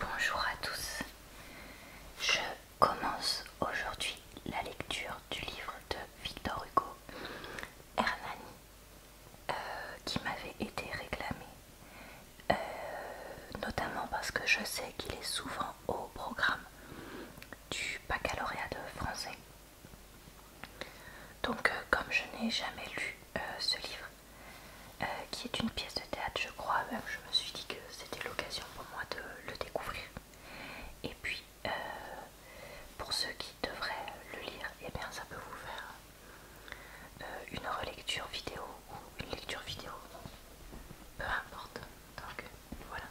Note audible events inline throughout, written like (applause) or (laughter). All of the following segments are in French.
Bonjour à tous, je commence aujourd'hui la lecture du livre de Victor Hugo, Hernani, euh, qui m'avait été réclamé, euh, notamment parce que je sais qu'il est souvent au programme du baccalauréat de français. Donc euh, comme je n'ai jamais lu ce livre, euh, qui est une pièce de théâtre, je crois. Même je me suis dit que c'était l'occasion pour moi de le découvrir. Et puis, euh, pour ceux qui devraient le lire, et eh bien, ça peut vous faire euh, une relecture vidéo ou une lecture vidéo, peu importe. Donc, voilà.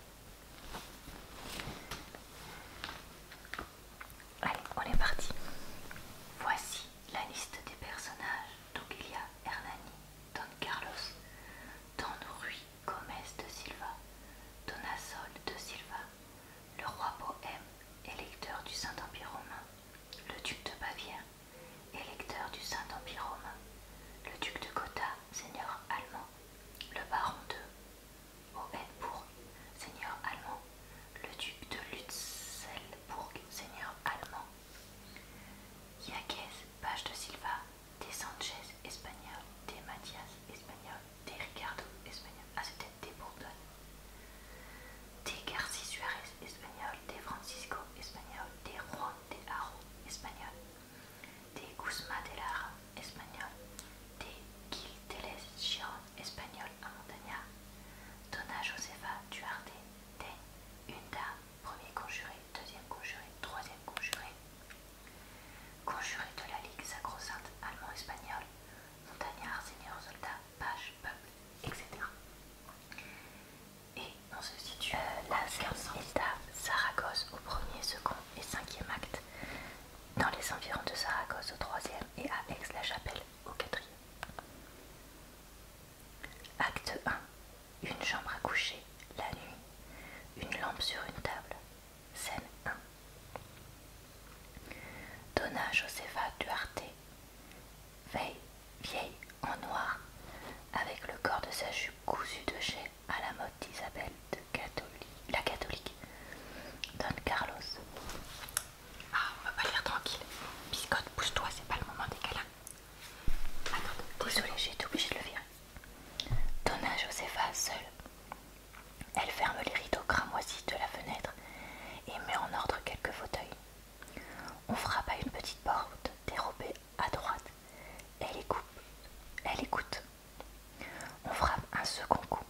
Allez, on est parti. Voici la liste des personnages. Donc il Hernani, Don Carlos, Don Rui Gomez de Silva, Donasol de Silva, le roi Bohème, électeur du Saint-Empire romain, le duc de Bavière, électeur du Saint-Empire romain, le duc de Gotha, seigneur allemand, le baron de Hohenbourg, seigneur allemand, le duc de Lutzelbourg, seigneur allemand. Yaquez, page de Silva, des Sanchez, espagnol, des Mathias, espagnol, des Ricardo, espagnol. Ah, c'était des Bourdon. Des Garci Suarez, espagnol, des Francisco, espagnols. des Juan de Haro, espagnol, des Guzmán de Lara, espagnol, des Gil Teles espagnol, montagnard, à montagnard, Tona Josefa Duarte, T, une premier conjuré, deuxième conjuré, troisième conjuré, conjuré de la Ligue sacro-sainte allemand espagnol, montagnard, seigneur, soldat, page, peuple, etc. Et on se situe euh, là, Saragosse au premier, second et cinquième acte dans les environs de Saragosse au troisième et à Aix-la-Chapelle au quatrième. Acte 1. Une chambre à coucher, la nuit, une lampe sur une table. Scène 1. Donna Josefa Duarte, veille, vieille en noir, avec le corps de sa jupe cousue de chais à la mode d'Isabelle, de la catholique Don Carlos. Ah, on va pas lire tranquille. Biscotte, pousse-toi, c'est pas le moment des câlins. Attends, Désolé, j'ai été obligée de le virer. Donna Josefa, seule. Elle ferme les rideaux cramoisis de la fenêtre et met en ordre quelques fauteuils. On frappe à une petite porte dérobée à droite. Elle écoute. Elle écoute. On frappe un second coup,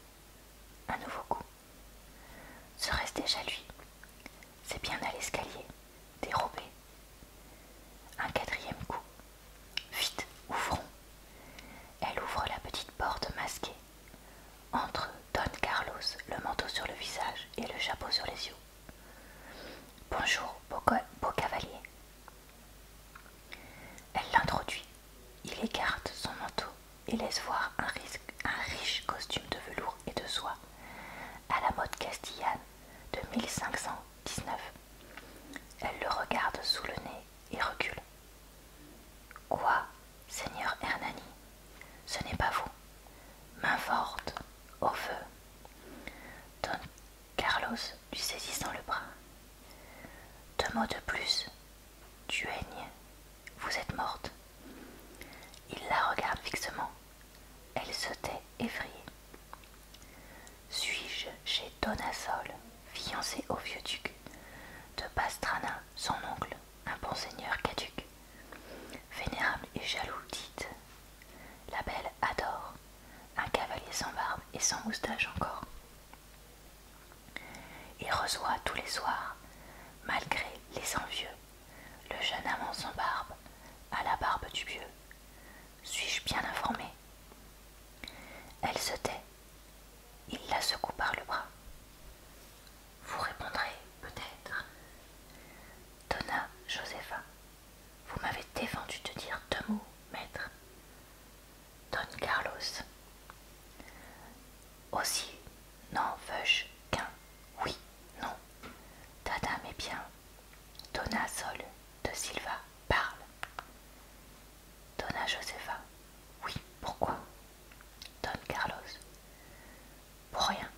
un nouveau coup. Serait-ce déjà lui C'est bien à l'escalier, dérobé. Un quatrième coup. Vite, ouvrons. Elle ouvre la petite porte masquée. Entre Don Carlos, le manteau sur le visage et le chapeau sur les yeux. Bonjour, beau cavalier. Elle l'introduit. Il écarte son manteau et laisse voir un, riche costume de velours et de soie, à la mode castillane de 1519. Elle le regarde sous le nez et recule. Quoi, Seigneur Hernani Ce n'est pas vous. Main forte, au feu. Carlos lui saisissant le bras. Deux mots de plus. Tu aignes, Vous êtes morte. Il la regarde fixement. Elle se tait effrayée. Suis-je chez Donasol, fiancée au vieux duc, de Pastrana, son oncle, un bon seigneur caduc, vénérable et jaloux, dite. La belle adore un cavalier sans barbe et sans moustache encore. Il reçoit tous les soirs, malgré les envieux, le jeune amant sans barbe, à la barbe du vieux. Suis-je bien informé Elle se tait. Il la secoue par le bras. Vous répondrez peut-être. Donna Josepha vous m'avez défendu de dire deux mots, maître. Don Carlos. Aussi non, veux-je qu'un. Oui, non. dame est bien. Donna Sol de Silva parle. Dona Josefa. Oui, pourquoi Don Carlos. Pour rien.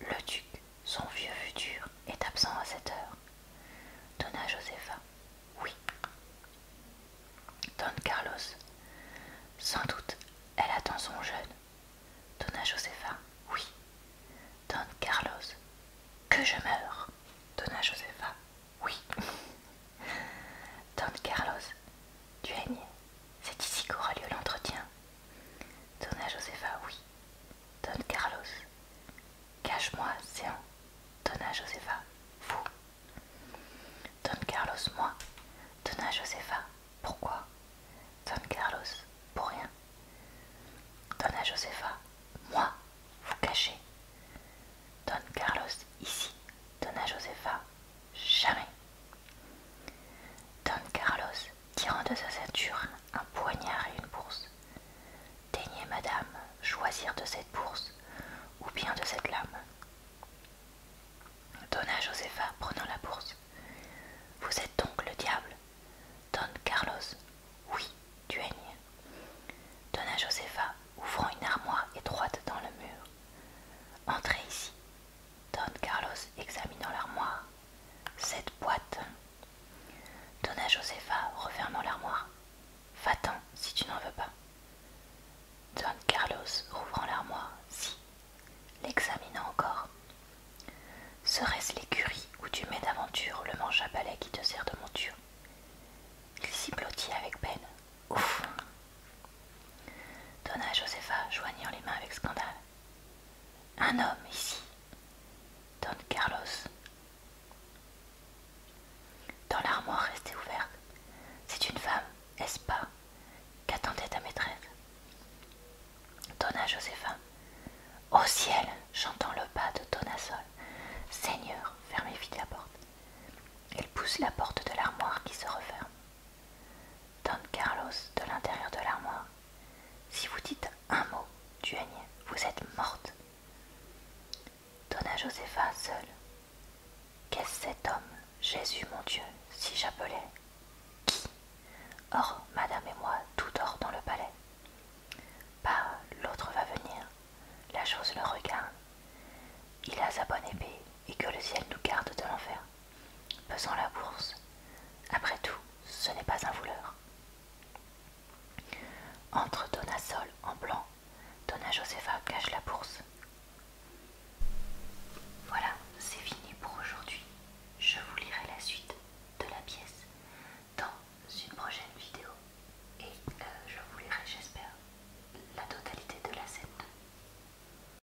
Le duc son vieux futur est absent à cette heure. Donna Josefa. Oui. Don Carlos. Sans doute, elle attend son jeune. Donna Josefa. Oui. Don Carlos. Que je meurs. Donna Josefa. Oui. (laughs) Don Carlos. tu Duaigne. C'est ici qu'aura lieu l'entretien. Donna Josefa. Oui. Don Carlos. Cache-moi, en Donna Josefa. Vous. Don Carlos, moi. Donna Josefa. Pourquoi Don Carlos. Pour rien. Donna Josefa. Moi. Vous cachez. Don Carlos. Ici. Donna Josefa. Jamais. Don Carlos tirant de sa ceinture un poignard et une bourse. Daignez, madame, choisir de cette bourse ou bien de cette lame. Donna Josefa prenant la bourse. Vous êtes donc le diable Don Carlos. Oui, tu es Donna Josefa, ouvrant une armoire étroite dans le mur. Entrez ici. Don Carlos examinant l'armoire. Cette boîte Donna Josepha, refermant l'armoire. Va-t'en si tu n'en veux pas. Don Carlos, rouvrant l'armoire, si, l'examinant encore. Serait-ce l'écurie où tu mets d'aventure le manche à balai qui te sert de monture Il s'y blottit avec peine. Ouf Donna Josefa, joignant les mains avec scandale. Un homme ici Don Carlos. Dans l'armoire restée ouverte, c'est une femme, est ce pas, qu'attendait ta maîtresse. Donna Joséphine. Au ciel, j'entends le pas de Dona Sol. Seigneur, fermez vite la porte. Elle pousse la porte de l'armoire qui se referme. Don Carlos, de l'intérieur de l'armoire. Si vous dites un mot, duègne, vous êtes morte. Donna Josefa seule. Qu'est-ce cet homme Jésus, mon Dieu, si j'appelais. Qui Or, madame et moi, tout dort dans le palais. Pas l'autre va venir. La chose le regarde. Il a sa bonne épée et que le ciel nous garde de l'enfer pesant la bourse. Après tout, ce n'est pas un voleur. Entre Donna Sol en blanc, Donna Josefa cache la bourse. Voilà, c'est fini pour aujourd'hui. Je vous lirai la suite de la pièce dans une prochaine vidéo et euh, je vous lirai, j'espère, la totalité de la scène.